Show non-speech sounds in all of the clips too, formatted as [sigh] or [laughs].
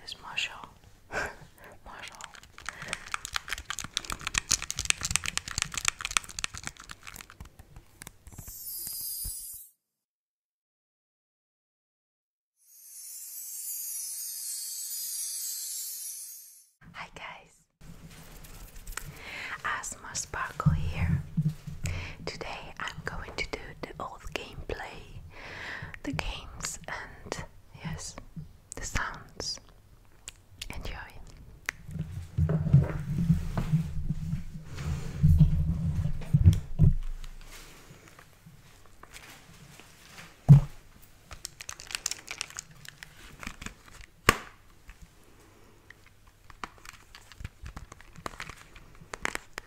It's Marshall. [laughs] Marshall. Hi guys. Asma Sparkle here. Today I'm going to do the old gameplay, the games and yes, the sounds. Enjoy.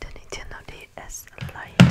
The Nintendo DS Lite.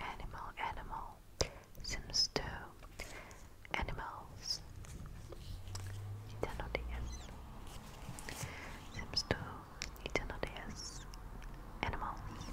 Animal, animal, Sims 2, Animals, Nintendo DS, Sims 2, Nintendo DS, Animals.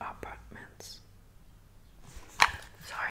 Apartments. Sorry.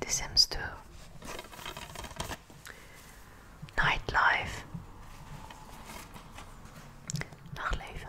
This seems to nightlife nachleven.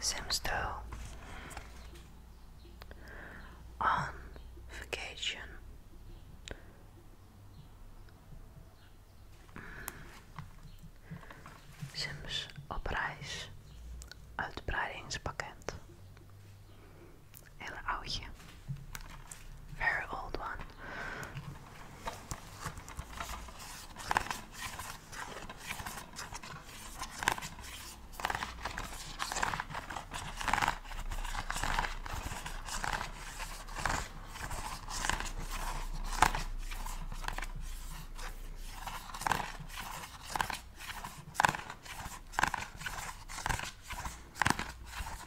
Simstow on vacation. Sims op reis. Uitbreidingspakket. Hele oudje. Oh, Very old one.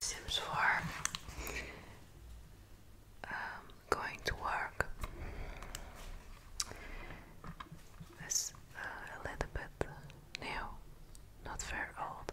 Sims for um, going to work is uh, a little bit new, not very old.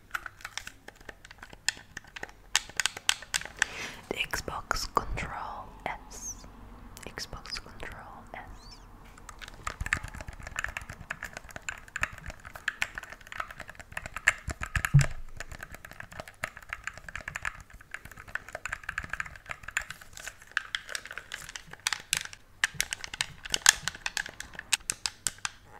The Xbox Control S. Xbox Control S.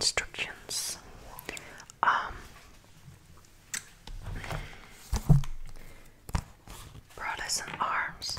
Instructions. Um, brothers arms,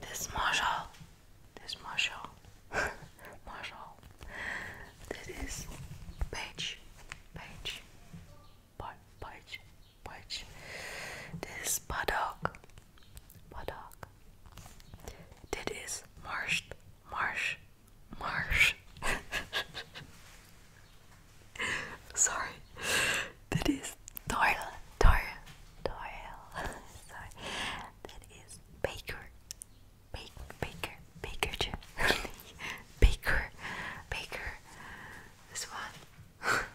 This Marshall. This Marshall. [laughs] Marshall. This is page. Page. Page. Page. This paddock. Paddock. This is marsh. Marsh. Marsh. [laughs] Sorry. That is Doyle. Doyle. Doyle. [laughs] Sorry. That is Baker. Baker. Baker. Baker. [laughs] Baker. Baker. This one. [laughs]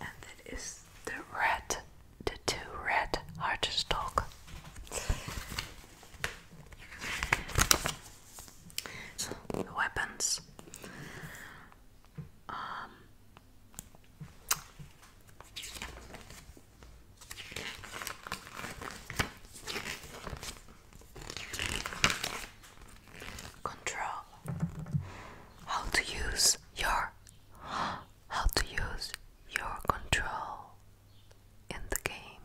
and that is the red. The two red Archstock. Weapons. Um, control how to use your how to use your control in the game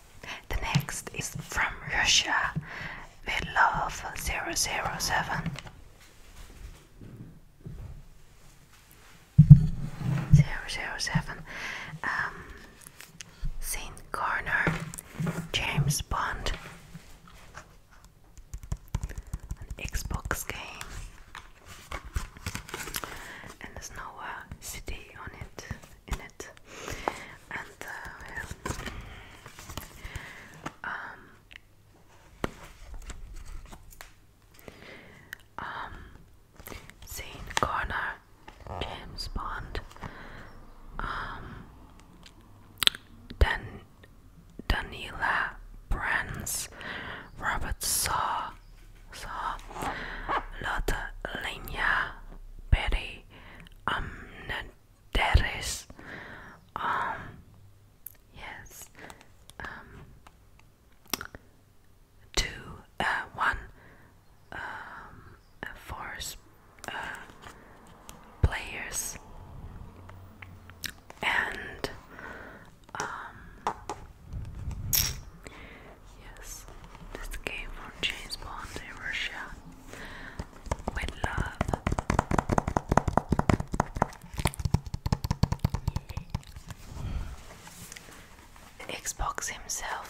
the next is from Russia, Midlove 007. 007. Um, Saint Corner, James Bond, an Xbox game, and there's no city on it in it, uh, um, um, corner, James Bond, um, Dan Danila Brands, Robert Saw. So, Lotte, Lenya, Betty, Amnett, that is, Um, yes. Um, two, uh, one, um, four uh, players, and um, yes, this game for James Bond in Russia with love. Xbox himself.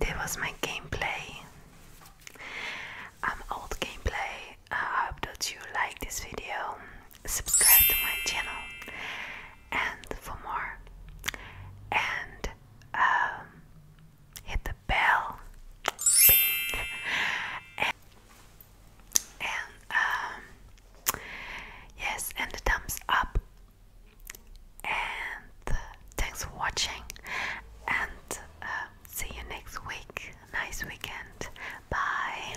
That was my gameplay. I'm old gameplay. I hope that you like this video. Subscribe to my channel and for more and um, hit the bell and, um, yes and the thumbs up and thanks for watching and um, see you next week nice weekend bye,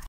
bye.